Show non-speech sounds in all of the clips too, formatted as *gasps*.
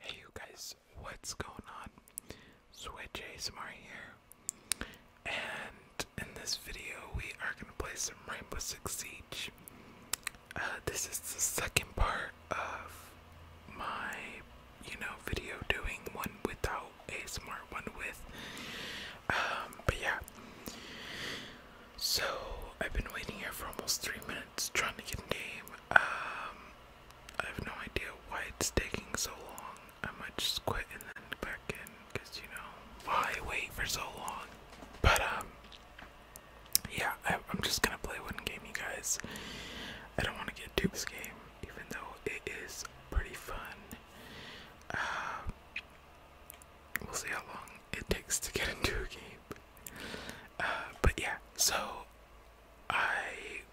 Hey you guys, what's going on? Switch ASMR here. And in this video we are gonna play some Rainbow Six Siege. Uh, this is the second part of my you know, video doing, one without a smart one with. Um, but yeah. So I've been waiting here for almost three minutes trying to get a name. Um I have no idea why it's taking so long. I might just quit and then back in because you know why wait for so long. But um yeah, I, am just gonna play one game, you guys. I don't want to get too this game, even though it is pretty fun. Um, we'll see how long it takes to get *laughs* into a game. Uh, but yeah, so I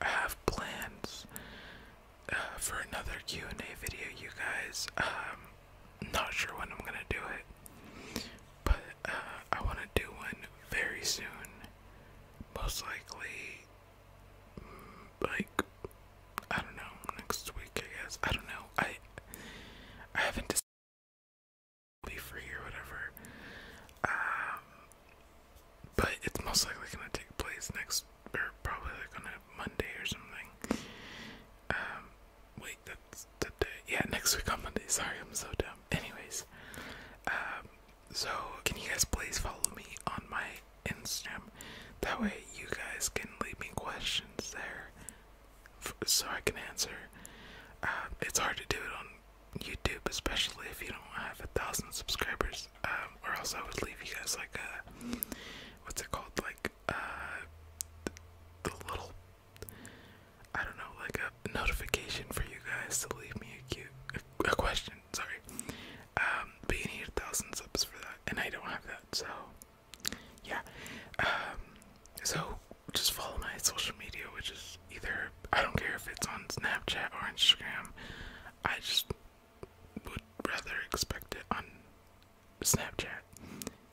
have plans uh, for another Q and A video, you guys. Um, not sure when I'm gonna do it, but uh, I want to do one very soon, most likely like I don't know next week I guess I don't know I I haven't decided be free or whatever um but it's most likely gonna take place next or probably like on a Monday or something um wait that's the day yeah next week on Monday sorry I'm so dumb anyways um so, can you guys please follow me on my Instagram? That way, you guys can leave me questions there so I can answer. Um, it's hard to do it on YouTube, especially if you don't have a thousand subscribers, um, or else I would leave you guys like a what's it called? Like, uh, the, little I don't know, like a notification for you guys to leave me a cute a question sorry. Um, but you need a thousand subs for that, and I don't have that, so yeah. Um, so just follow my social media, which is either I don't care if it's on Snapchat or Instagram. I just would rather expect it on Snapchat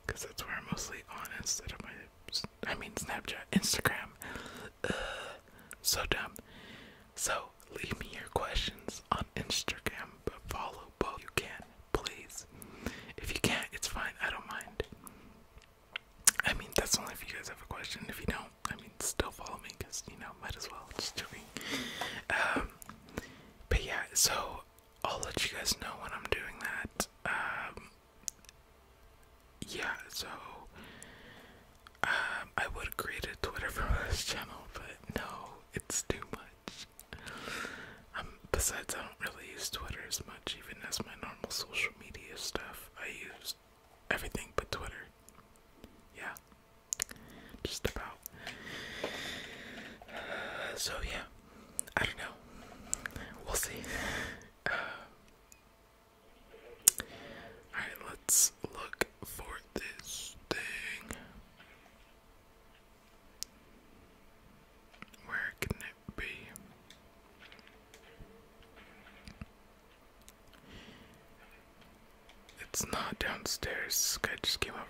because that's where I'm mostly on instead of my. I mean Snapchat, Instagram. so dumb. So leave me your questions on Instagram, but follow both you can, please. If you can't, it's fine. I don't mind. I mean, that's only if you guys have a question. If you don't, I mean, still follow me because you know, might as well. Just joking. Um, but yeah, so I'll let you guys know when I'm doing that. Um, yeah, so um, I would create a Twitter for *laughs* this channel, but no, it's too much. Um, besides, I don't really use Twitter as much, even as my normal social media stuff. I use everything but Twitter. Yeah, just about. so yeah, I don't know. We'll see. Uh, all right, let's look for this thing. Where can it be? It's not downstairs. I just came out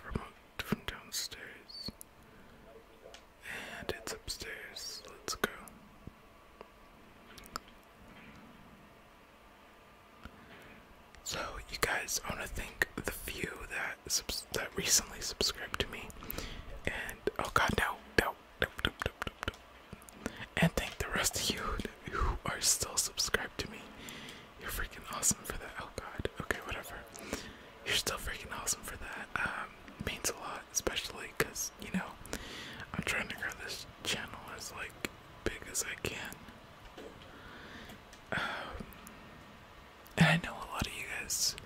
from downstairs. And it's upstairs. Let's go. So you guys, I want to thank the few that subs that recently subscribed to me, and oh god, no, no, no, no, no, no, no. and thank the rest of you who are still subscribed to me. You're freaking awesome for that. Oh god, okay, whatever. You're still freaking awesome for that. Um, it means a lot, especially because you know I'm trying to grow this channel as like big as I can and I know a lot of you guys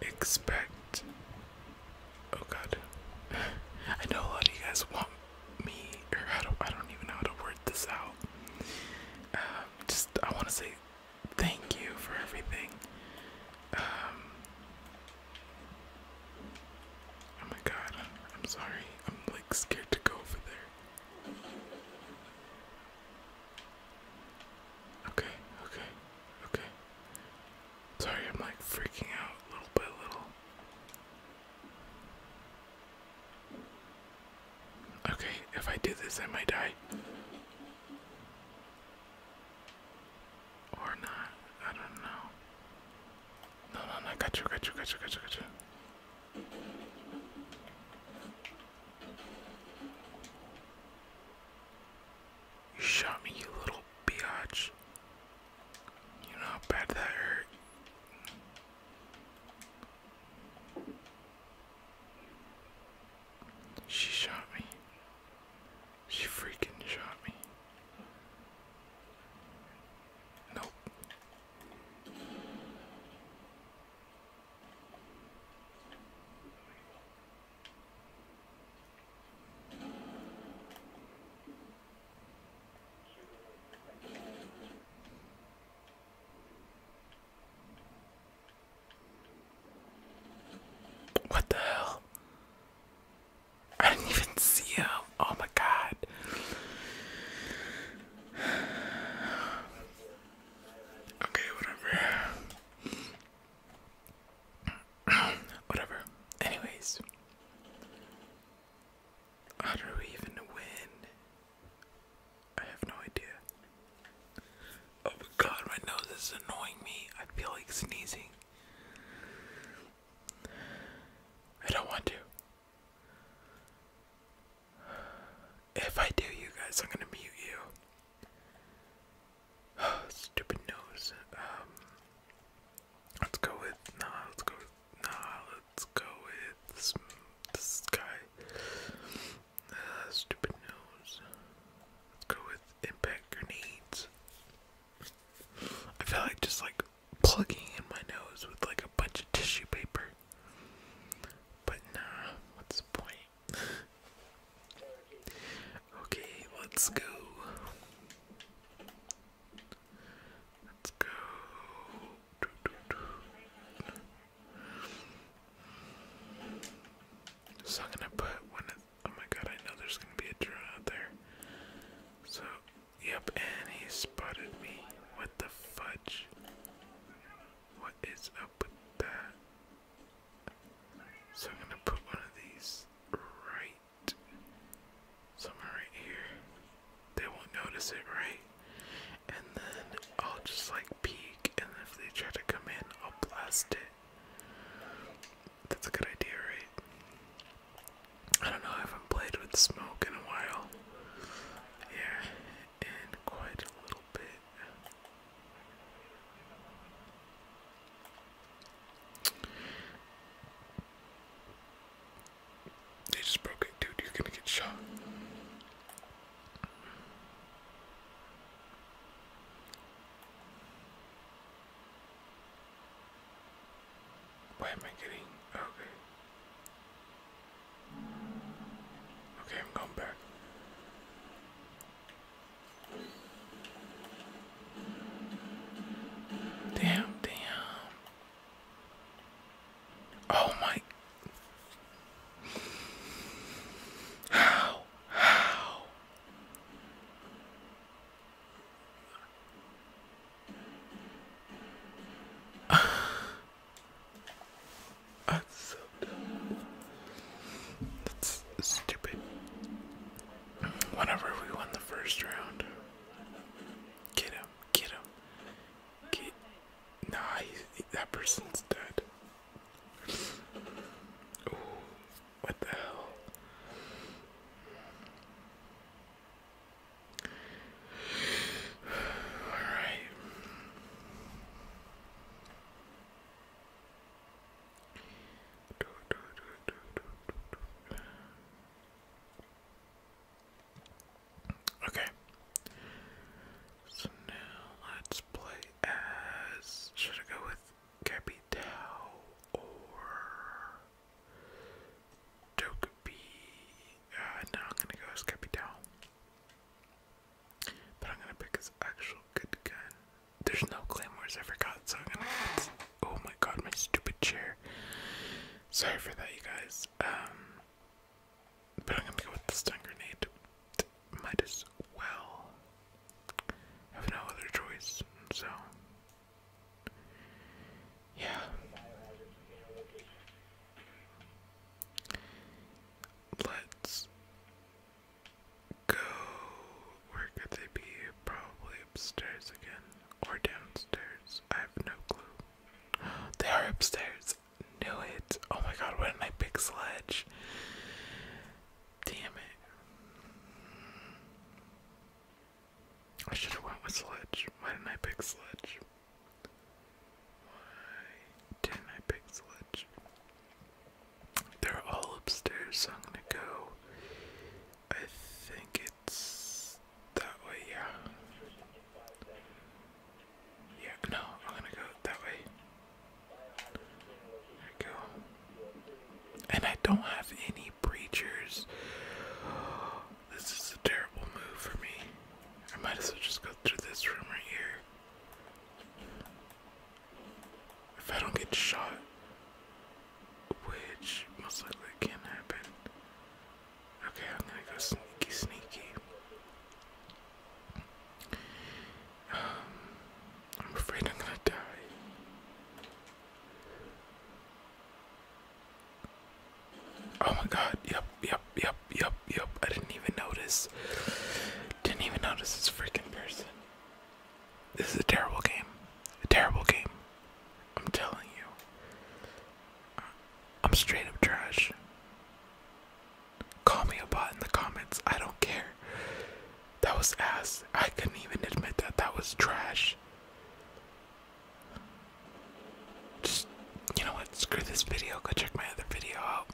expect. Oh God, *laughs* I know a lot of you guys want me, or I don't, I don't even know how to word this out. Um, just I want to say thank you for everything. Um, oh my God, I'm sorry. I'm scared to go over there. Okay, okay, okay. Sorry, I'm like freaking out little by little. Okay, if I do this, I might die. Or not, I don't know. No, no, no, got you, got you, got you, got you, got you. You shot me, you little biatch. You know how bad that hurt. She shot me. She freaking shot me. Nope. What the hell? I didn't even see you. Oh my god. Okay, whatever. *clears throat* whatever. Anyways. How do we even win? I have no idea. Oh my god, my nose is annoying me. I feel like sneezing. I don't want to. If I do, you guys, I'm gonna mute you. *sighs* stupid nose. Um, let's go with nah. Let's go nah. Let's go with this, this guy. Uh, stupid nose. Let's go with impact grenades. I feel like just like plugging in my nose with like a bunch of tissue paper. But nah, what's the point? *laughs* okay, let's go. Let's go. Do, gonna put one. Of, oh my god! I know there's gonna be a drone out there. So Yep, and he spotted me. What the fudge? What is up with that? So I'm gonna put one of these right somewhere right here. They won't notice it, right? And then I'll just like peek, and if they try to come in, I'll blast it. That's a good idea, right? I don't know, I haven't played with smoke in a while. Yeah, and quite a little bit. They just broke it, dude. You're gonna get shot. Why am I getting okay? Okay, I'm going back. Damn, damn. Oh my. How? How? i so dumb. That's stupid. Whenever we won the first round, get him, get him, get. Nah, that person's dead. what the hell? All right. Okay. So now let's play as. Should I go with Capitao or Togepi. Uh, I'm gonna go as Capital. But I'm gonna pick his actual good gun. There's no claymores, I forgot, so I'm gonna. Get... Oh my god, my stupid chair. Sorry for that, you guys. Um, but I'm gonna go with the stun grenade. Might as well. have no other choice, so yeah. Let's go. Where could they be? Probably upstairs again. Or downstairs. I have no clue. *gasps* They are upstairs. Knew it. Oh my god, why didn't I pick Sledge? Damn it. I should have went with Sledge. Why didn't I pick Sledge? Why didn't I pick Sledge? They're all upstairs, I'm gonna go. I think it's that way, yeah. Yeah, no, I'm gonna go that way. There we go. And I don't have any Preachers, This is a terrible move for me. I might as well just go through this room right here. If I don't get shot, which most likely can happen. Okay, I'm gonna go sneaky, sneaky. Um, I'm afraid I'm gonna die. Oh my god, yep, yep, yep, yep, yep. I didn't even notice. Didn't even notice this freaking person. This is a terrible game. A terrible game. I'm telling you. Uh, I'm straight up trash. Call me a bot in the comments. I don't care. That was ass. I couldn't even admit that that was trash. Just, you know what? Screw this video. Go check my other video out.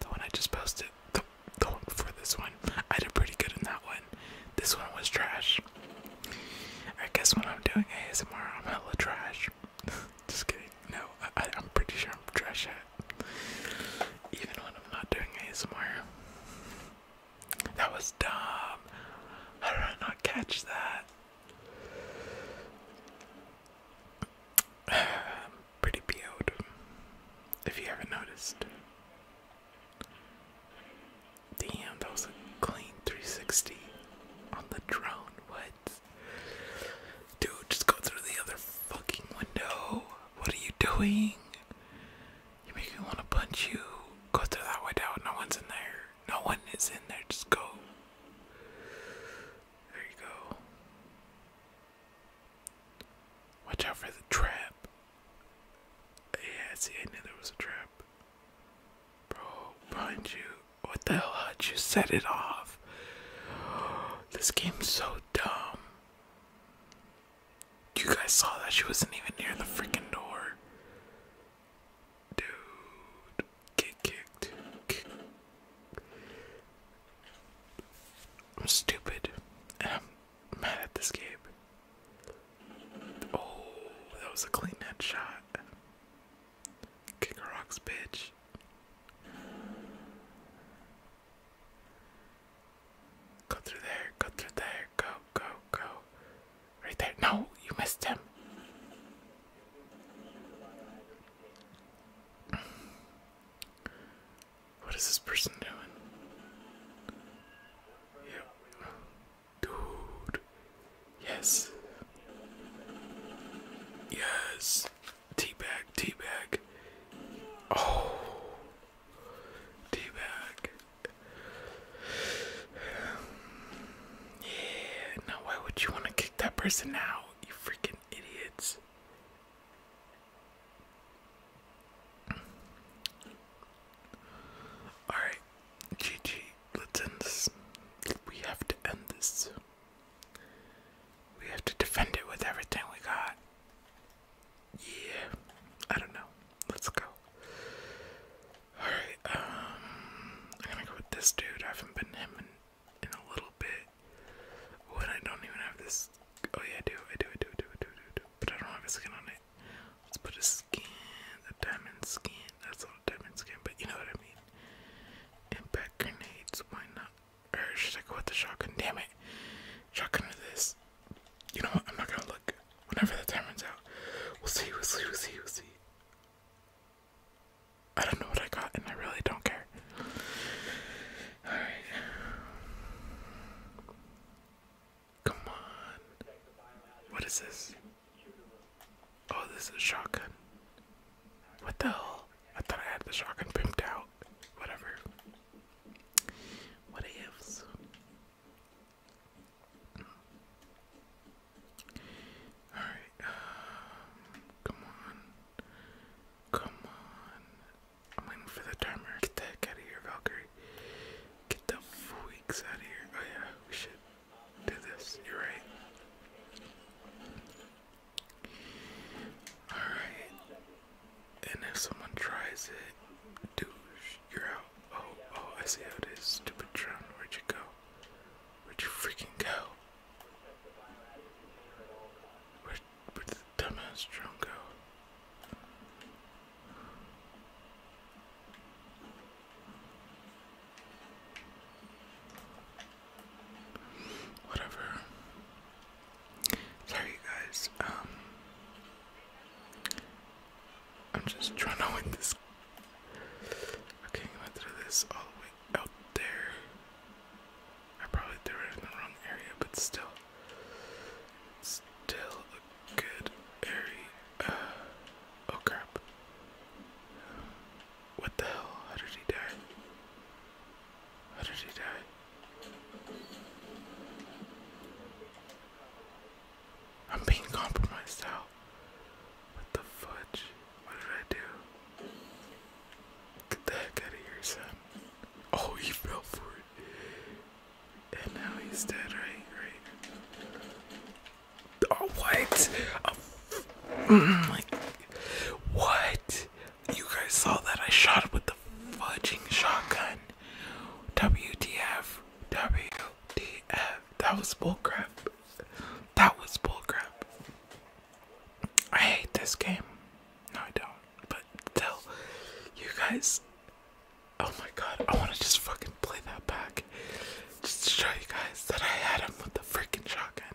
The one I just posted. The, the one before this one. I did pretty good in that one. This one was trash. I guess when I'm doing ASMR, I'm hella trash. *laughs* just kidding. No, I, I, am pretty sure I'm trash Even when I'm not doing ASMR. That was dumb. How did I not catch that? *sighs* Pretty po if you haven't noticed. Damn, that clean 360 on the drone. What? Dude, just go through the other fucking window. What are you doing? You make me want to punch you. Go through that way down. No one's in there. No one is in there. Just go. There you go. Watch out for the trap. Yeah, see, I knew there was a trap. Bro, behind you. What the hell? how you set it off? *gasps* This game's so dumb. You guys saw that she wasn't even near the freaking door. Dude, get kicked. I'm stupid. And I'm mad at this game. Oh, that was a clean headshot. Kick rocks, bitch. Go through there, go through there, go, go, go. Right there. No, you missed him. What is this person doing? Yep. Dude. Yes. Yes. Teabag, teabag. Oh. Teabag. Yeah, now why would you want to kick that person out? You freaking idiots. Alright, GG, let's end this. We have to end this. We have to defend it with everything we got. Yeah, I don't know. Let's go. Alright, um, I'm gonna go with this dude. I haven't been him in, in a little bit. When I don't even have this. Oh, yeah, I do. I do, I do, I do, I do, I do, But I don't have a skin on it. Let's put a skin, a diamond skin. That's not diamond skin, but you know what I mean. Impact grenades, why not? Or should I go the shotgun? Damn it. Shotgun to this. You know what? I'm not gonna look. Whenever the time runs out, we'll see, we'll see, we'll see, I don't know what I got, and I really don't care. Alright. Come on. What is this? Oh, this is a shotgun. What the hell? I thought I had the shotgun pimped out. Whatever. What ifs? Alright, come on. Come on. I'm waiting for the timer. Get the out of here, Valkyrie. Get the freaks out of here. Oh yeah, we should do this. You're right. Alright. And if someone tries it, douche. You're out. Oh, oh, I see how it is. Stupid drone, where'd you go? Where'd you freaking go? Where, where the dumbass drone go? Whatever. Sorry, guys. Um, I'm just trying to win this. Okay, I'm this all the way out there. I probably threw it in the wrong area, but still, still a good area. Uh, oh crap! What the hell? How did he die? How did he die? I'm being compromised out. with the fudge? What did I do? Get the heck out of here, son. Oh, he fell for it. And now he's dead, right? Right. Oh, what? Oh, mm, like, what? You guys saw that I shot with the fudging shotgun. WTF, WTF. That was bullcrap. That was bullcrap. I hate this game. No, I don't. But still, you guys. Oh my god, I want to just fucking play that back. Just to show you guys that I had him with the freaking shotgun.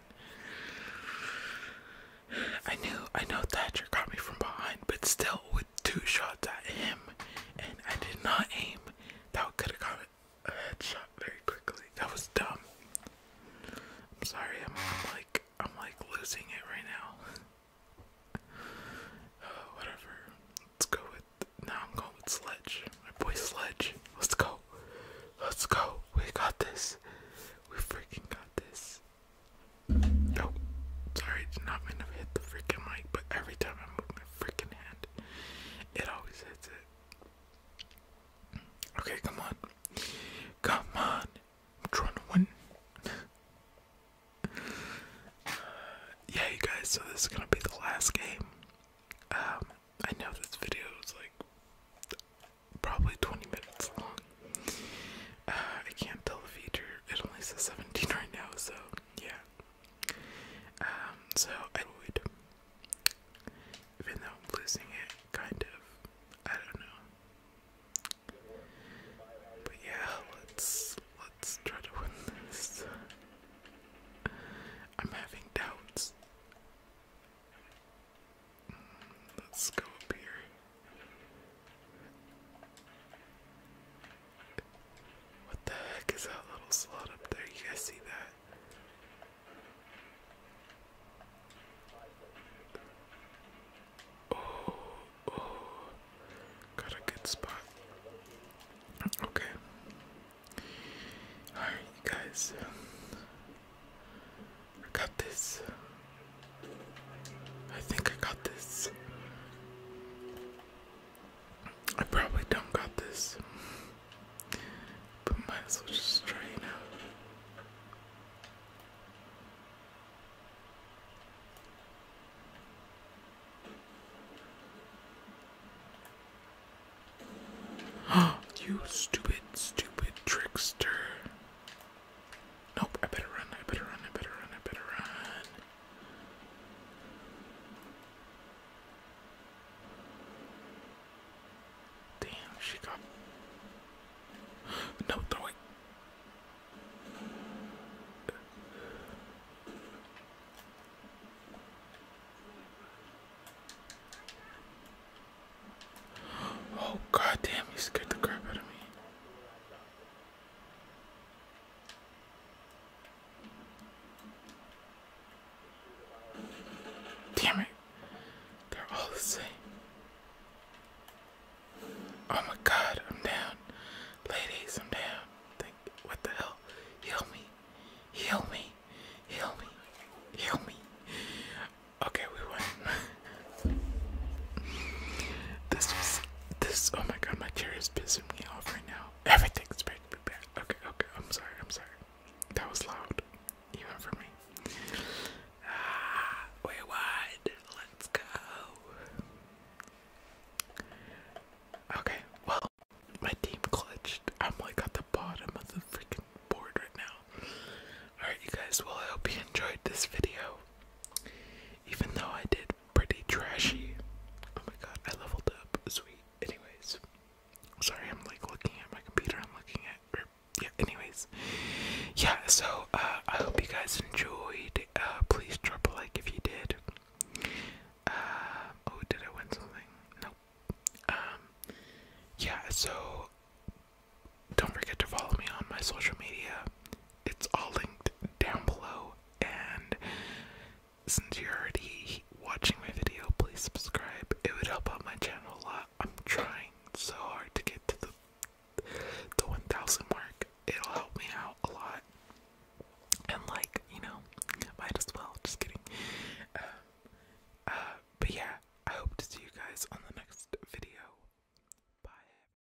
I knew, I know Thatcher got me from behind, but still, with two shots at him and I did not aim. That could have got a headshot very quickly. That was dumb. I'm sorry, I'm, i like I'm like losing it right now. *sighs* Oh, whatever. Let's go with now I'm going with Sledge. My boy Sledge. Let's go. Let's go. We got this. We freaking got this. No, sorry, not mean to hit the freaking mic, but every time I move my freaking hand, it always hits it. Okay, come on. Come on. I'm trying to win. *sighs* yeah, you guys, so this is gonna be the last game. Um, I know this video is like probably 20 minutes long. Uh, I can't tell the feature it only says 17 right now, so yeah. Um, so I would, even though I'm losing it, kind of, I don't know. But yeah, let's let's try to win this. I'm having doubts. Hmm, let's go up here. What the heck is that little slot up there? You guys see that? Oh, oh. got a good spot. Okay. Alright, you guys. got this. I think I got this. I probably don't got this. But might as well just try it out. *gasps* you stupid, stupid trickster. Nope, I better run, I better run, I better run, I better run. Damn, she got no throwing. Oh god damn, he scared the crap out of me. Damn it. They're all the same. Oh my god, I'm down. Ladies, I'm down. what the hell? Heal me. Heal me. Heal me. Heal me. Okay, we won. *laughs* This is this. Oh my god, my chair is pissing me off right now. Everything's bad. Okay, okay. I'm sorry. I'm sorry. That was loud, even for me. Ah, we won. Let's go. Okay. Well, my team clutched. I'm like at the bottom of the freaking board right now. Alright, you guys. Well, I hope you enjoyed this video. Even though I did pretty trashy. Oh my god, I leveled up. Sweet. Anyways, sorry, I'm like looking at my computer. I'm looking at. yeah. Anyways, yeah. So uh, I hope you guys enjoyed. Uh, please drop a like if you did. Uh, oh, did I win something? Nope. Um, yeah. So don't forget to follow me on my social media. It's all linked down below. And since you're already watching my video, please subscribe. It would help out my channel a lot. I'm trying so hard to get to the the 1000 mark. It'll help me out a lot. And like, you know, might as well. Just kidding. Uh, uh, but yeah, I hope to see you guys on the next video. Bye.